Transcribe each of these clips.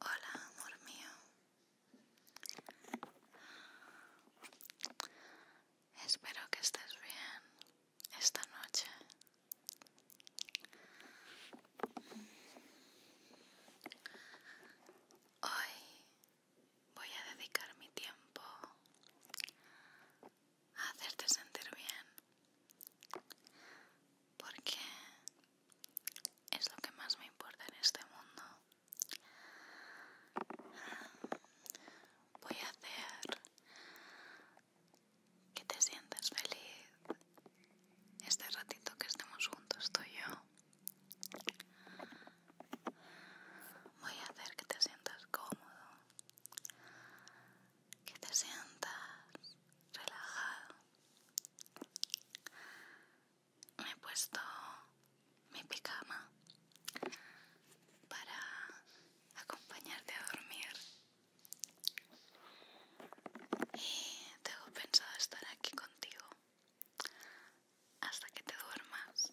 Hola, amor mío. Espero que estés bien esta noche. Hoy voy a dedicar mi tiempo a hacerte sentir bien porque es lo que más me importa en este mundo. Voy a hacer que te sientas feliz este ratito que estemos juntos tú y yo. Voy a hacer que te sientas cómodo, que te sientas relajado me he puesto mi picama para acompañarte a dormir y tengo pensado estar aquí contigo hasta que te duermas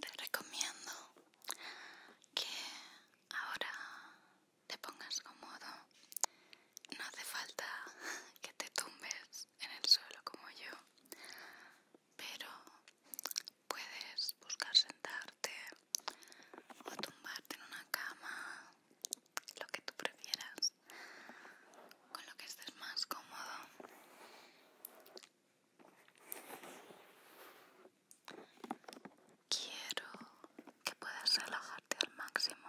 Te recomiendo que ahora te pongas cómodo. No hace falta que te tumbes en el suelo como yo, pero puedes buscar sentarte o tumbarte en una cama, lo que tú prefieras con lo que estés más cómodo quiero que puedas relajarte al máximo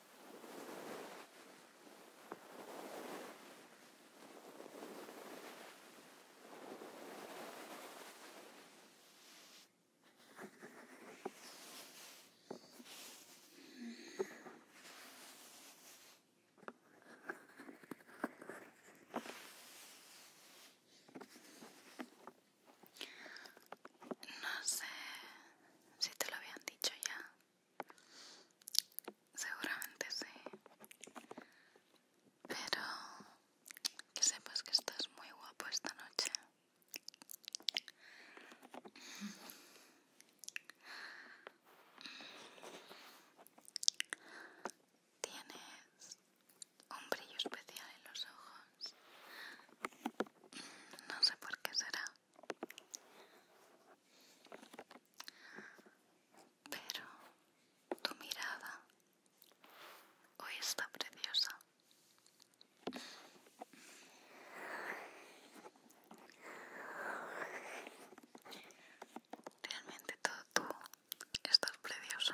No sé si te lo habían dicho ya Seguramente sí. Pero que sepas que estás muy guapo esta noche. Tienes un brillo especial en los ojos. No sé por qué será. Pero tu mirada hoy está preciosa. Realmente todo tú estás precioso.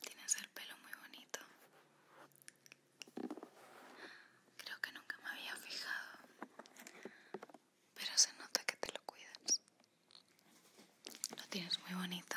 Tienes el pelo muy bonito. Creo que nunca me había fijado, pero se nota que te lo cuidas. Lo tienes muy bonito.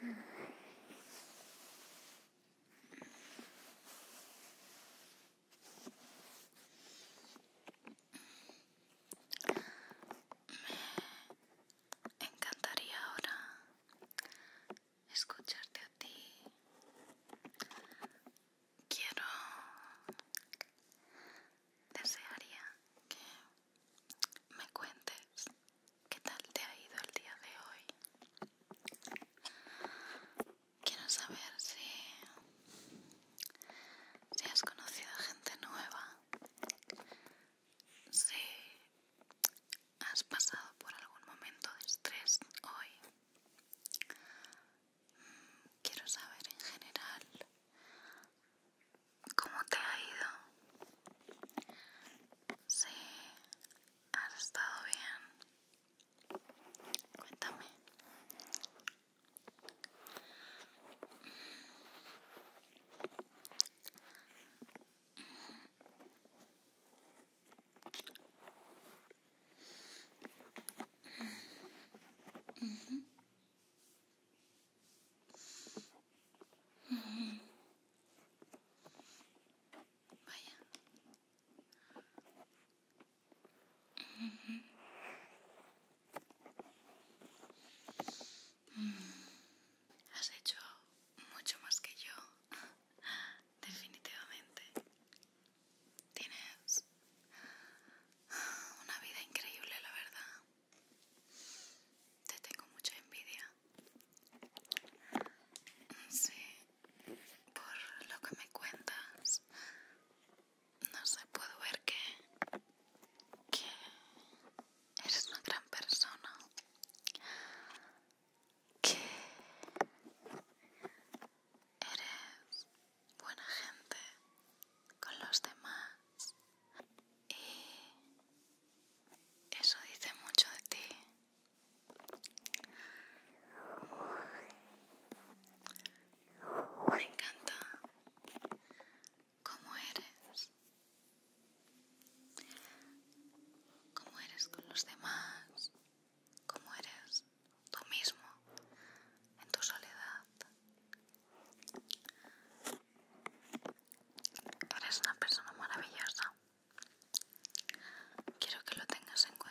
Me encantaría ahora escucharte a ti. Quiero... Desearía que me cuentes qué tal te ha ido el día de hoy. Quiero saber si, si has conocido gente nueva, si has pasado por algún momento de estrés hoy. Mm, quiero saber en general ¿Cómo te ha ido? Sí, has estado bien. Cuéntame. Has hecho mucho más que yo, definitivamente. Tienes una vida increíble, la verdad. Te tengo mucha envidia. Sí, por lo que me cuentas, no se puedo ver que, que eres una gran persona. Que eres buena gente con los demás y eso dice mucho de ti. Me encanta cómo eres, cómo eres con los demás, cómo eres tú mismo en tu soledad. Eres una persona maravillosa. Quiero que lo tengas en cuenta.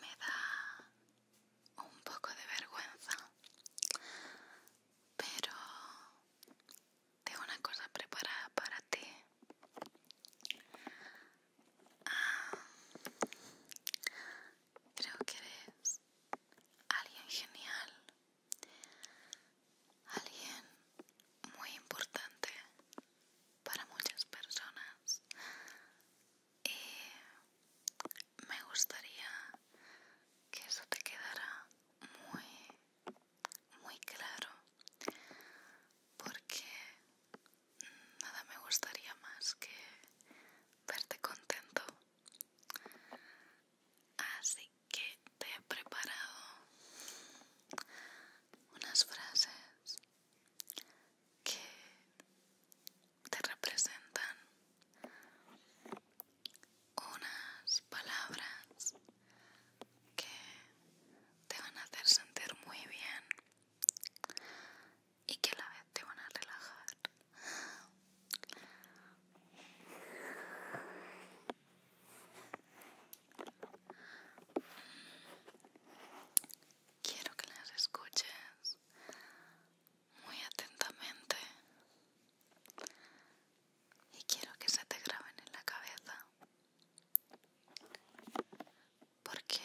me da un poco de vergüenza pero tengo una cosa preparada para ti ah, creo que eres alguien genial alguien muy importante para muchas personas y me gustaría que eso te quedara muy muy claro porque nada me gustaría más que verte contento así que te he preparado unas frases que te representan unas palabras que te van a hacer sentir muy bien y que a la vez te van a relajar. Quiero que las escuches muy atentamente y quiero que se te graben en la cabeza porque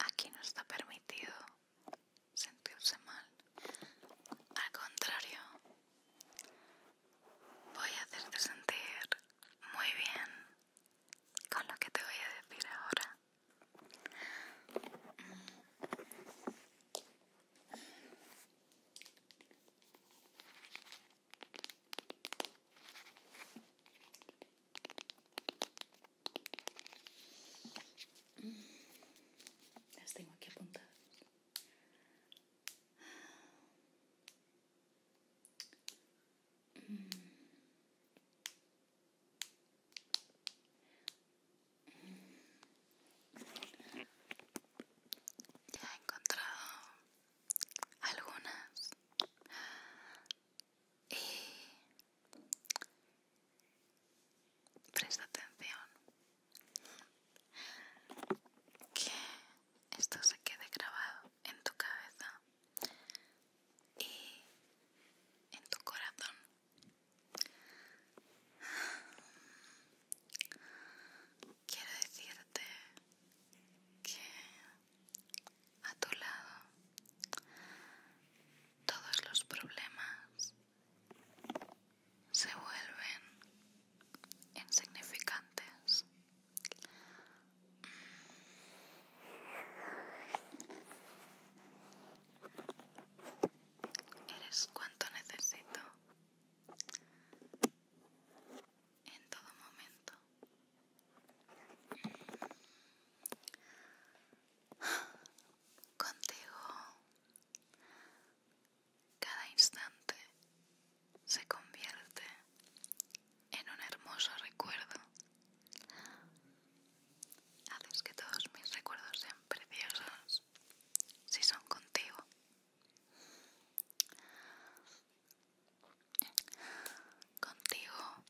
aquí no está permitido sentirse mal al contrario Voy a hacerte sentir muy bien con lo que te voy a decir ahora. Mm. tengo aquí ya he encontrado algunas y presta atención que esto se quede grabado en tu cabeza y en tu corazón. Quiero decirte que a tu lado todos los problemas se vuelven insignificantes. Eres cuanto necesito en todo momento. Contigo cada instante se convierte en un hermoso recuerdo. Haces que todos mis recuerdos sean preciosos si son contigo. Contigo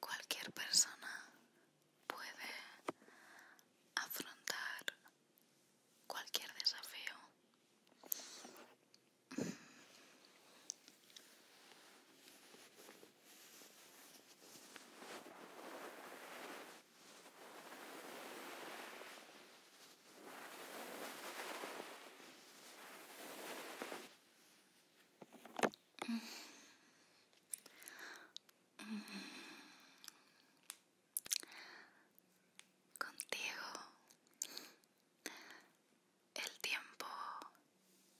cualquier persona puede afrontar cualquier desafío. Contigo el tiempo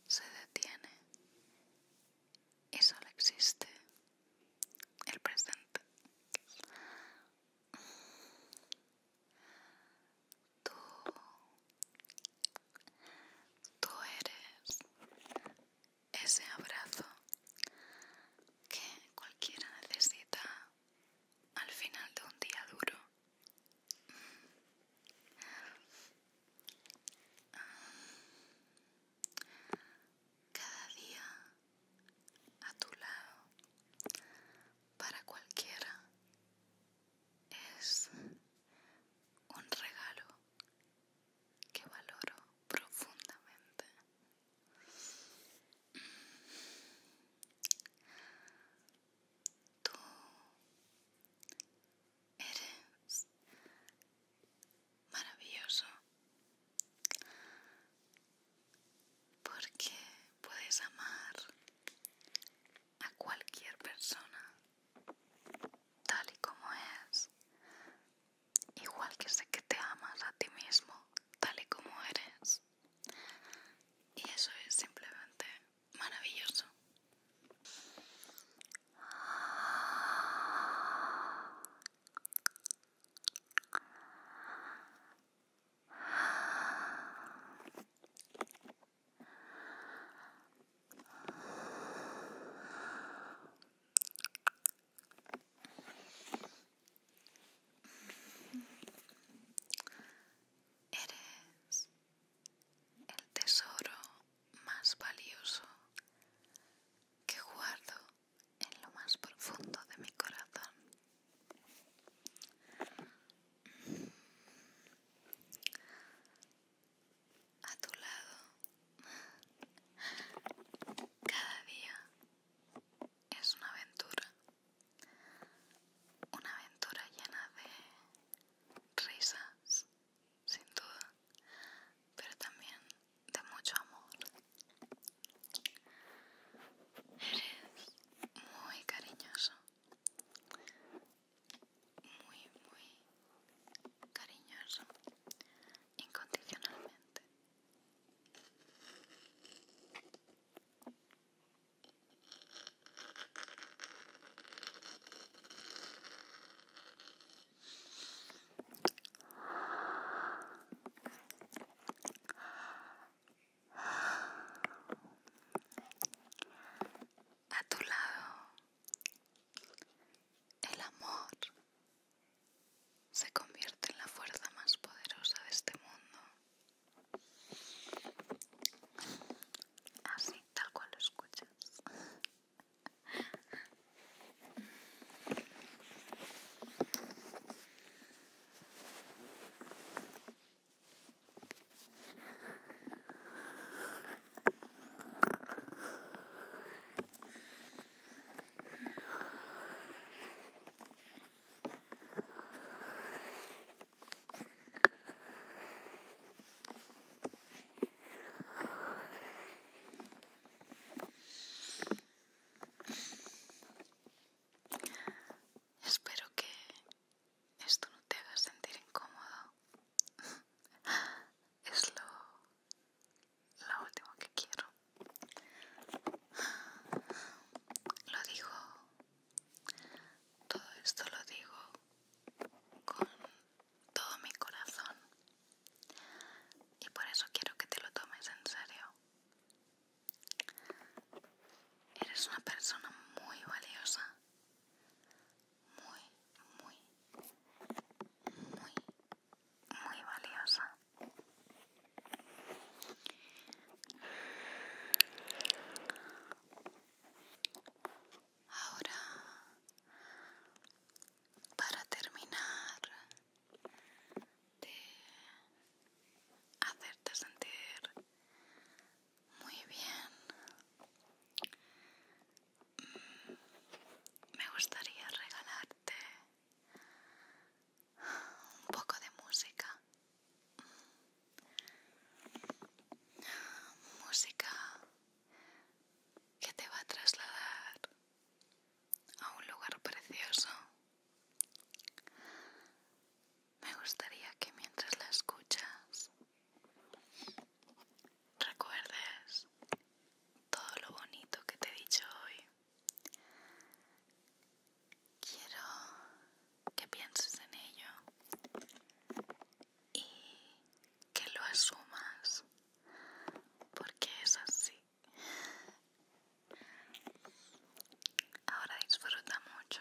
se detiene y solo existe el presente. Tú, tú eres ese abrazo que cualquiera necesita al final de un día duro. Mm. Cada día a tu lado para cualquiera es un regalo que valoro profundamente. Tú eres maravilloso porque puedes amar a cualquier persona tal y como es igual que sé que te amas a ti mismo tal y como eres. Y eso es simplemente maravilloso. Eres el tesoro más valioso que guardo en lo más profundo de mi corazón. A tu lado cada día es una aventura, una aventura llena de risas, sin duda, pero también de mucho amor. Eres muy cariñoso, muy, muy cariñoso incondicionalmente. A tu lado, el amor se convierte en la fuerza más poderosa de este mundo. Así, tal cual lo escuchas. Espero que esto no te haga sentir incómodo. Es lo lo última que quiero. Lo digo, todo esto lo digo con todo mi corazón y por eso quiero que te lo tomes en serio. Eres una persona muy valiosa, muy, muy, muy, muy valiosa. Ahora, para terminar de hacerte sentir muy bien, me gustaría regalarte un poco de música. Música que te va a trasladar a un lugar precioso. Me gustaría que mientras la escuchas recuerdes todo lo bonito que te he dicho hoy. Quiero que pienses en ello y que lo asumas, porque es así. Ahora disfruta mucho.